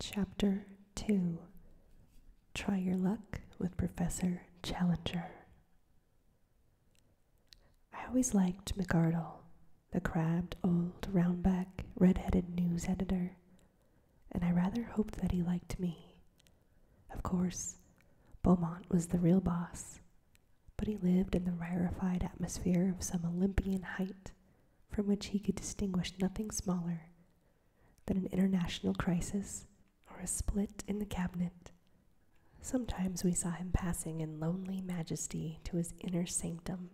Chapter 2 Try Your Luck with Professor Challenger. I always liked McArdle, the crabbed old roundback red-headed news editor, and I rather hoped that he liked me. Of course, Beaumont was the real boss, but he lived in the rarefied atmosphere of some Olympian height from which he could distinguish nothing smaller than an international crisis or a split in the cabinet. Sometimes we saw him passing in lonely majesty to his inner sanctum,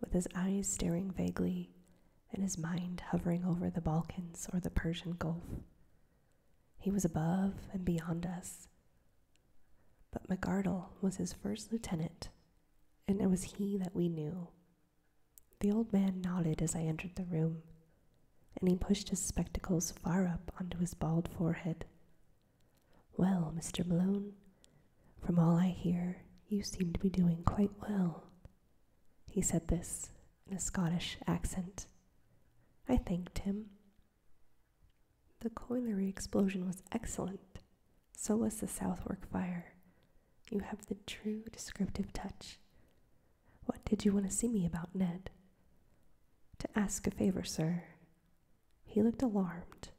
with his eyes staring vaguely and his mind hovering over the Balkans or the Persian Gulf. He was above and beyond us. But McArdle was his first lieutenant, and it was he that we knew the old man nodded as I entered the room, and he pushed his spectacles far up onto his bald forehead. Well, Mr. Malone, from all I hear, you seem to be doing quite well. He said this in a Scottish accent. I thanked him. The coilery explosion was excellent, so was the Southwark fire. You have the true descriptive touch. What did you want to see me about, Ned? To ask a favor, sir. He looked alarmed,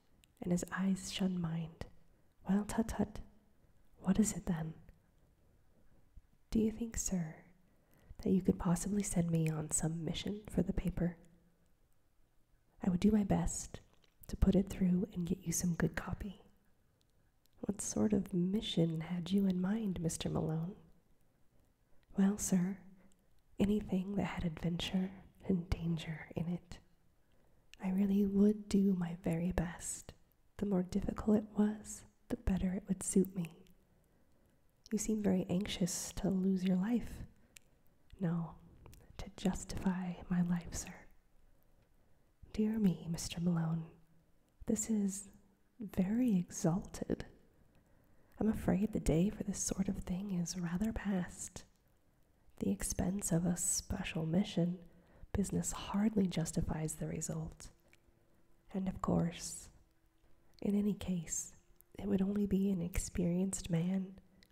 and his eyes shunned mine. Well, tut tut. What is it then? Do you think, sir, that you could possibly send me on some mission for the paper? I would do my best to put it through and get you some good copy. What sort of mission had you in mind, Mr. Malone? Well, sir, anything that had adventure and danger in it. I really would do my very best. The more difficult it was, the better it would suit me. You seem very anxious to lose your life. No, to justify my life, sir. Dear me, Mr. Malone, this is very exalted. I'm afraid the day for this sort of thing is rather past. The expense of a special mission, business hardly justifies the result. And of course, in any case, it would only be an experienced man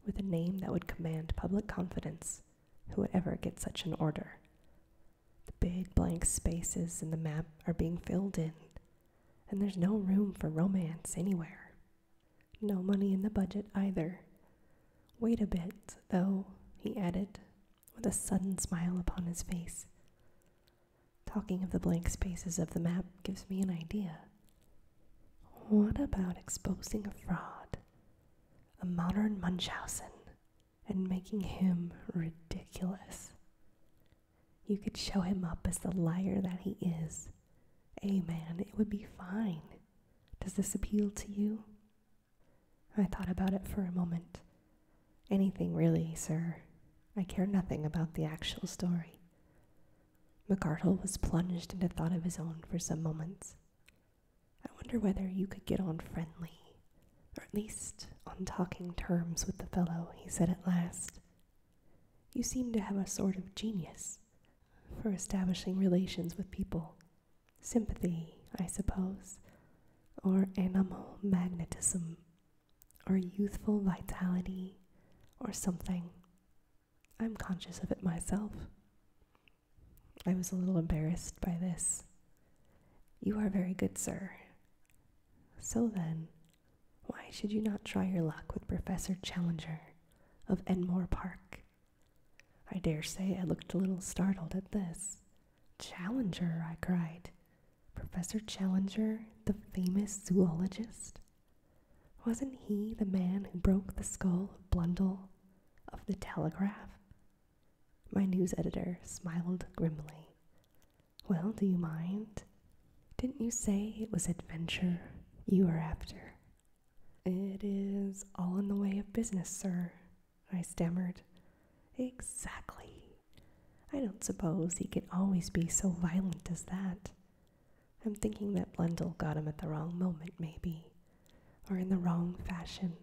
with a name that would command public confidence who would ever get such an order? The big blank spaces in the map are being filled in, and there's no room for romance anywhere. No money in the budget either. Wait a bit, though, he added, with a sudden smile upon his face. Talking of the blank spaces of the map gives me an idea. What about exposing a fraud? a modern Munchausen and making him ridiculous. You could show him up as the liar that he is. A man, it would be fine. Does this appeal to you? I thought about it for a moment. Anything really, sir. I care nothing about the actual story. Macartle was plunged into thought of his own for some moments. I wonder whether you could get on friendly, or at least on talking terms with the fellow, he said at last. You seem to have a sort of genius for establishing relations with people. Sympathy, I suppose, or animal magnetism, or youthful vitality, or something. I'm conscious of it myself. I was a little embarrassed by this. You are very good, sir. So then, why should you not try your luck with Professor Challenger of Enmore Park? I dare say I looked a little startled at this. Challenger, I cried. Professor Challenger, the famous zoologist? Wasn't he the man who broke the skull of Blundell of the Telegraph my news editor smiled grimly. Well, do you mind? Didn't you say it was adventure you were after? It is all in the way of business, sir, I stammered. Exactly. I don't suppose he can always be so violent as that. I'm thinking that Blundell got him at the wrong moment, maybe or in the wrong fashion,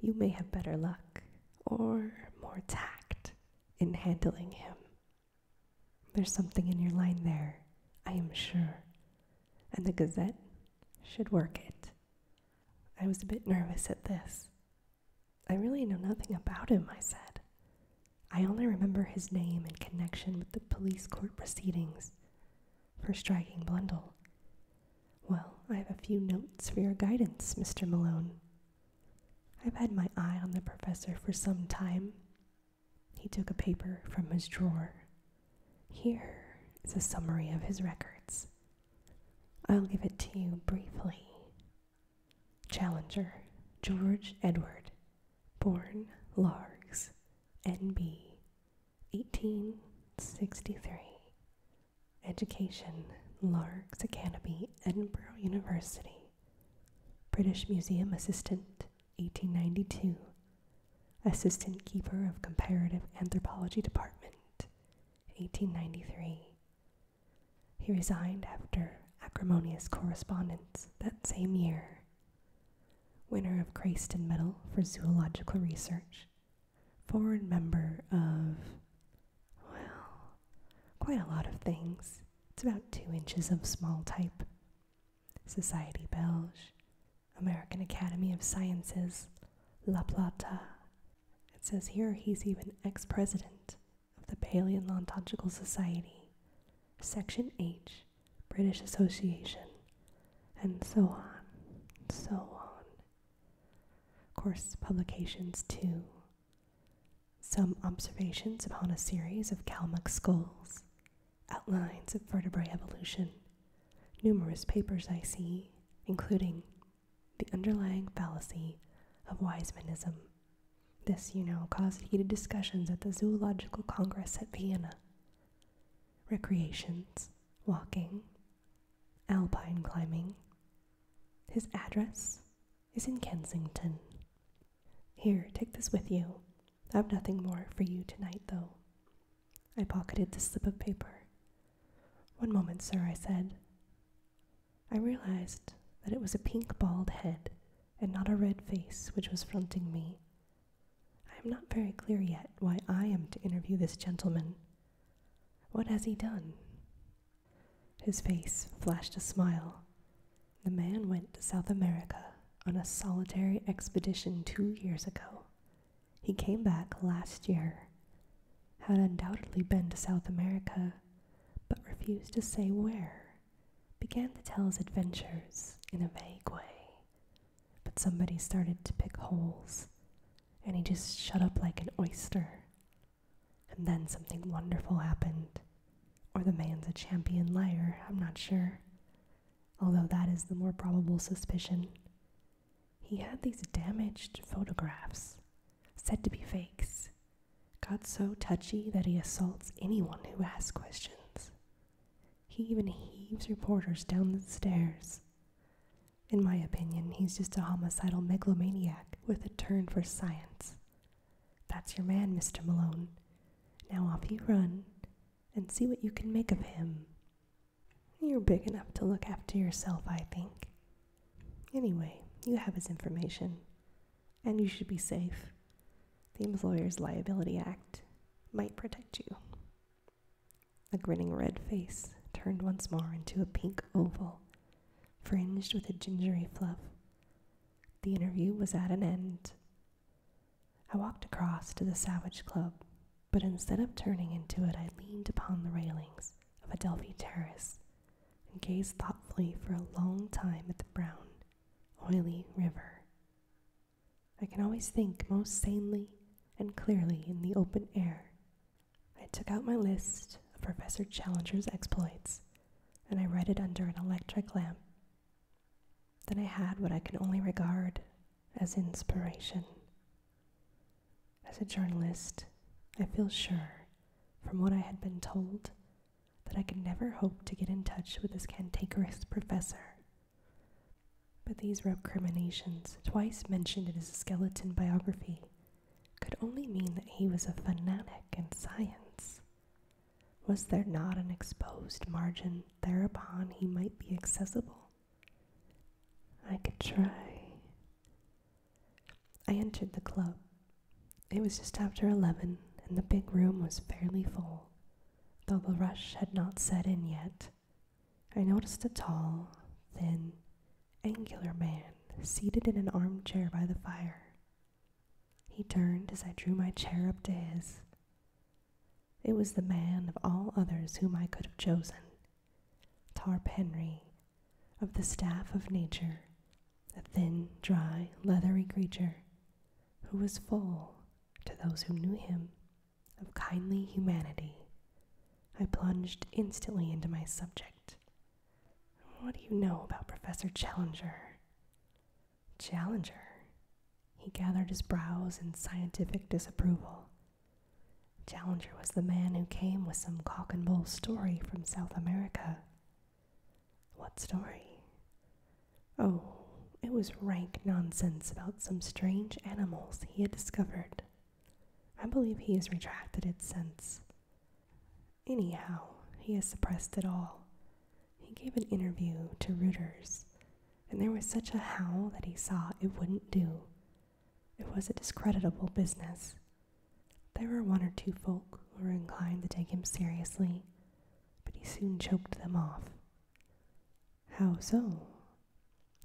you may have better luck or more tact in handling him. There's something in your line there, I am sure, and the Gazette should work it. I was a bit nervous at this. I really know nothing about him, I said. I only remember his name in connection with the police court proceedings for striking Blundell. Well, I have a few notes for your guidance, Mr. Malone. I've had my eye on the professor for some time. He took a paper from his drawer. Here is a summary of his records. I'll give it to you briefly. Challenger, George Edward, born Largs, N.B., 1863 Education, Largs Academy, Edinburgh University. British Museum Assistant, 1892. Assistant Keeper of Comparative Anthropology Department, 1893. He resigned after acrimonious correspondence that same year. Winner of Crayston Medal for Zoological Research, forward member of, well, quite a lot of things. It's about two inches of small type. Society Belge, American Academy of Sciences, La Plata. It says here he's even ex president of the Paleontological Society, Section H, British Association, and so on, so on, Course publications too. Some observations upon a series of Kalmuck skulls, outlines of vertebrate evolution, numerous papers I see, including the underlying fallacy of Wisemanism. This, you know, caused heated discussions at the Zoological Congress at Vienna. Recreations, walking, alpine climbing. His address is in Kensington. Here, take this with you. I have nothing more for you tonight, though. I pocketed the slip of paper. One moment, sir, I said. I realized that it was a pink bald head and not a red face which was fronting me. I am not very clear yet why I am to interview this gentleman, what has he done? His face flashed a smile. The man went to South America on a solitary expedition two years ago. He came back last year, had undoubtedly been to South America, but refused to say where, began to tell his adventures in a vague way. But somebody started to pick holes, and he just shut up like an oyster. And then something wonderful happened. Or the man's a champion liar, I'm not sure. Although that is the more probable suspicion. He had these damaged photographs, said to be fakes, got so touchy that he assaults anyone who asks questions. He even heaves reporters down the stairs. In my opinion, he's just a homicidal megalomaniac with a turn for science. That's your man, Mr. Malone. Now off you run and see what you can make of him. You're big enough to look after yourself, I think. Anyway, you have his information, and you should be safe. The Employer's Liability Act might protect you. A grinning red face turned once more into a pink oval, fringed with a gingery fluff. The interview was at an end. I walked across to the Savage Club, but instead of turning into it, I leaned upon the railings of Adelphi Terrace and gazed thoughtfully for a long time at the brown, oily river. I can always think most sanely and clearly in the open air I took out my list of Professor Challenger's exploits and I read it under an electric lamp. Then I had what I can only regard as inspiration. As a journalist, I feel sure, from what I had been told, that I could never hope to get in touch with this cantankerous professor. But these recriminations, twice mentioned in his skeleton biography, could only mean that he was a fanatic in science. Was there not an exposed margin thereupon he might be accessible? I could try. I entered the club. It was just after eleven, and the big room was fairly full, though the rush had not set in yet. I noticed a tall, thin, angular man seated in an armchair by the fire. He turned as I drew my chair up to his. It was the man of all others whom I could have chosen, Tarp of the staff of nature, a thin, dry, leathery creature who was full, to those who knew him, of kindly humanity I plunged instantly into my subject. What do you know about Professor Challenger? Challenger? He gathered his brows in scientific disapproval. Challenger was the man who came with some cock and bull story from South America. What story? Oh, it was rank nonsense about some strange animals he had discovered I believe he has retracted it since. Anyhow, he has suppressed it all. He gave an interview to Reuters, and there was such a howl that he saw it wouldn't do. It was a discreditable business. There were one or two folk who were inclined to take him seriously, but he soon choked them off. How so?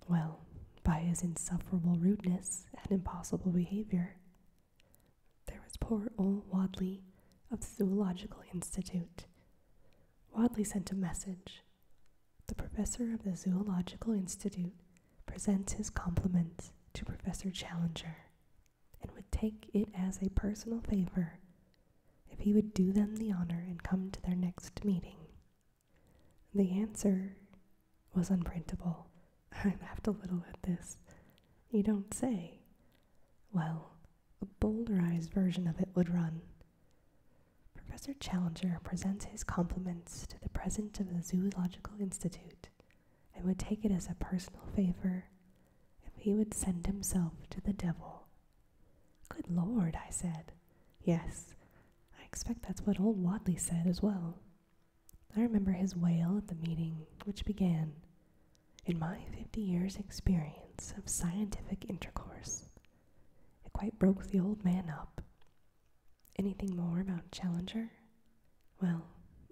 Well, by his insufferable rudeness and impossible behavior. There was poor old Wadley of the Zoological Institute. Wadley sent a message. The professor of the Zoological Institute presents his compliments to Professor Challenger and would take it as a personal favor if he would do them the honor and come to their next meeting. The answer was unprintable. I laughed a little at this. You don't say. Well, a bolderized version of it would run. Professor Challenger presents his compliments to the president of the Zoological Institute and would take it as a personal favor if he would send himself to the devil. Good Lord, I said. Yes, I expect that's what old Wadley said as well. I remember his wail at the meeting, which began In my 50 years' experience of scientific intercourse, it quite broke the old man up. Anything more about Challenger? Well,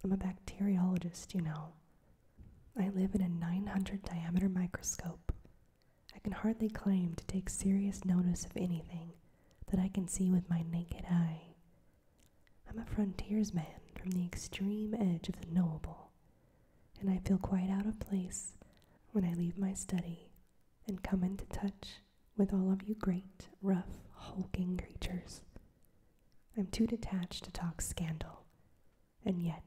I'm a bacteriologist, you know. I live in a 900 diameter microscope. I can hardly claim to take serious notice of anything that I can see with my naked eye. I'm a frontiersman from the extreme edge of the knowable, and I feel quite out of place when I leave my study and come into touch with all of you great, rough, hulking creatures. I'm too detached to talk scandal, and yet,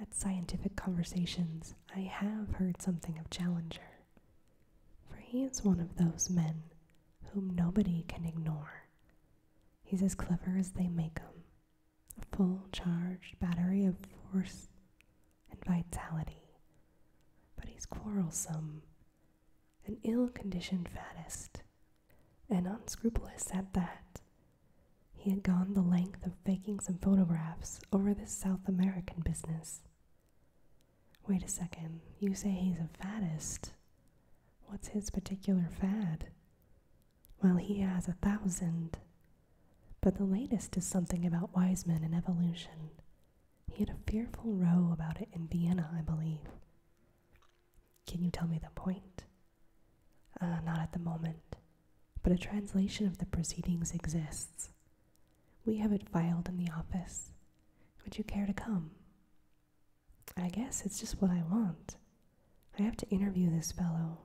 at scientific conversations, I have heard something of Challenger, for he is one of those men whom nobody can ignore. He's as clever as they make 'em, a full charged battery of force and vitality. But he's quarrelsome, an ill conditioned faddist, and unscrupulous at that. He had gone the length of faking some photographs over this South American business Wait a second, you say he's a faddist. What's his particular fad? Well, he has a thousand. But the latest is something about wise men and evolution. He had a fearful row about it in Vienna, I believe. Can you tell me the point? Uh, not at the moment, but a translation of the proceedings exists. We have it filed in the office. Would you care to come? I guess it's just what I want. I have to interview this fellow,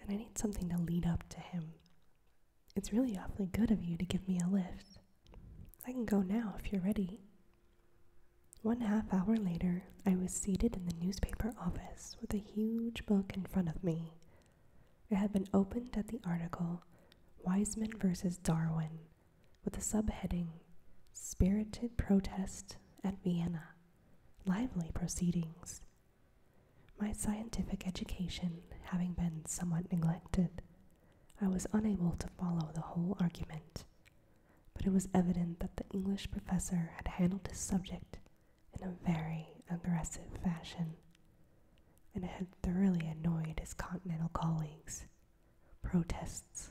and I need something to lead up to him. It's really awfully good of you to give me a lift. I can go now if you're ready. One half hour later, I was seated in the newspaper office with a huge book in front of me. It had been opened at the article Wiseman versus Darwin with the subheading Spirited Protest at Vienna Lively Proceedings. My scientific education having been somewhat neglected, I was unable to follow the whole argument, but it was evident that the English professor had handled his subject in a very aggressive fashion, and had thoroughly annoyed his continental colleagues protests,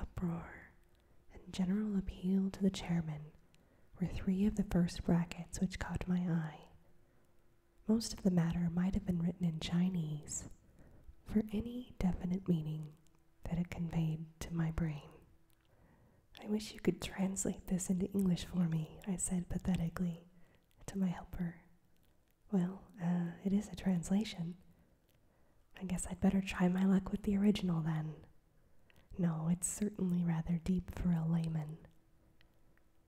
uproar, and general appeal to the chairman were three of the first brackets which caught my eye. Most of the matter might have been written in Chinese for any definite meaning that it conveyed to my brain. I wish you could translate this into English for me, I said pathetically to my helper. Well, uh, it is a translation. I guess I'd better try my luck with the original then. No, it's certainly rather deep for a layman.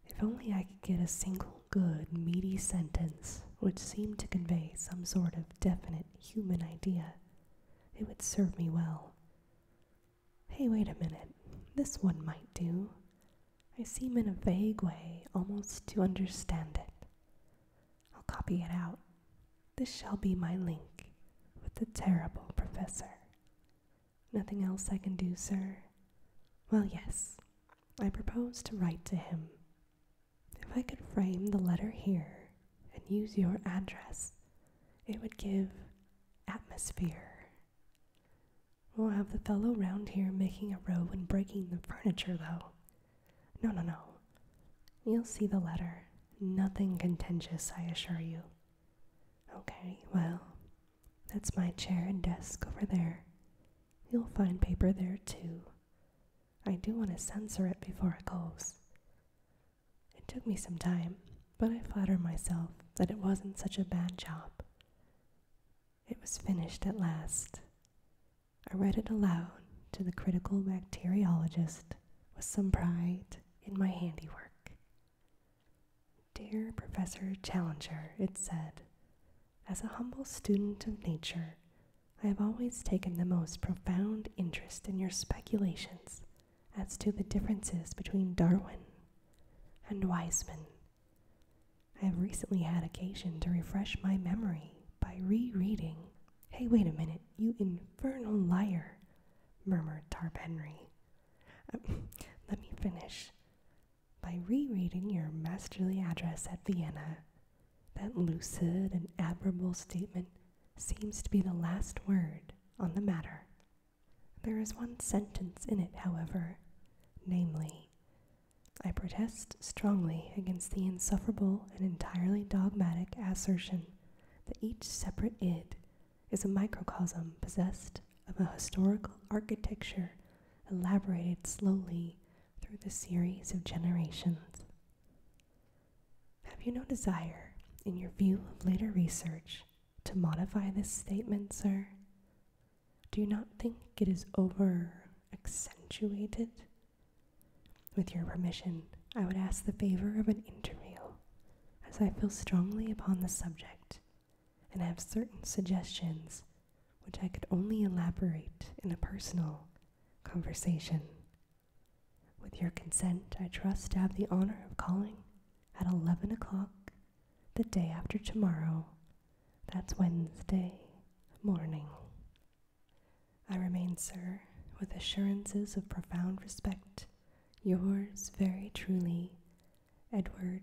If only I could get a single good, meaty sentence which seemed to convey some sort of definite human idea, it would serve me well. Hey, wait a minute. This one might do. I seem in a vague way almost to understand it. I'll copy it out. This shall be my link with the terrible professor. Nothing else I can do, sir? Well, yes. I propose to write to him. If I could frame the letter here and use your address, it would give atmosphere. We'll have the fellow round here making a row and breaking the furniture, though. No, no, no. You'll see the letter. Nothing contentious, I assure you. Okay, well, that's my chair and desk over there. You'll find paper there, too. I do want to censor it before it goes. It took me some time, but I flatter myself that it wasn't such a bad job. It was finished at last. I read it aloud to the critical bacteriologist with some pride in my handiwork. Dear Professor Challenger, it said, as a humble student of nature, I have always taken the most profound interest in your speculations as to the differences between Darwin and Weismann I have recently had occasion to refresh my memory by re-reading. Hey, wait a minute, you infernal liar, murmured Tarp Henry. Um, let me finish. By re-reading your masterly address at Vienna, that lucid and admirable statement seems to be the last word on the matter. There is one sentence in it, however, namely, I protest strongly against the insufferable and entirely dogmatic assertion that each separate id is a microcosm possessed of a historical architecture elaborated slowly through the series of generations. Have you no desire, in your view of later research, to modify this statement, sir? Do you not think it is over accentuated? With your permission, I would ask the favor of an interview, as I feel strongly upon the subject and have certain suggestions which I could only elaborate in a personal conversation. With your consent, I trust to have the honor of calling at 11 o'clock the day after tomorrow. That's Wednesday morning. I remain, sir, with assurances of profound respect, yours very truly, Edward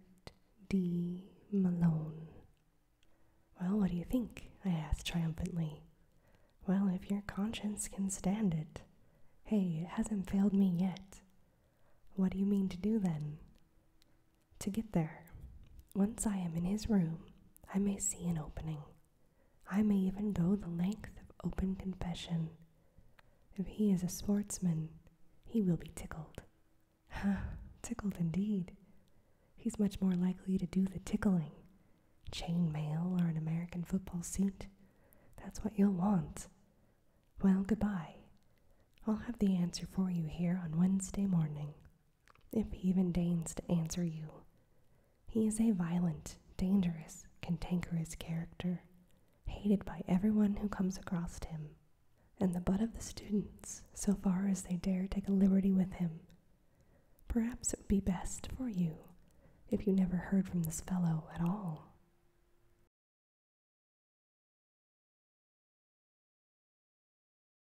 D. Malone. Well, what do you think? I asked triumphantly. Well, if your conscience can stand it. Hey, it hasn't failed me yet. What do you mean to do then? To get there, once I am in his room, I may see an opening. I may even go the length of open confession. If he is a sportsman, he will be tickled. Huh, tickled indeed. He's much more likely to do the tickling. Chain mail or an American football suit. That's what you'll want. Well, good bye. I'll have the answer for you here on Wednesday morning if he even deigns to answer you. He is a violent, dangerous, cantankerous character, hated by every one who comes across him, and the butt of the students so far as they dare take a liberty with him. Perhaps it would be best for you if you never heard from this fellow at all.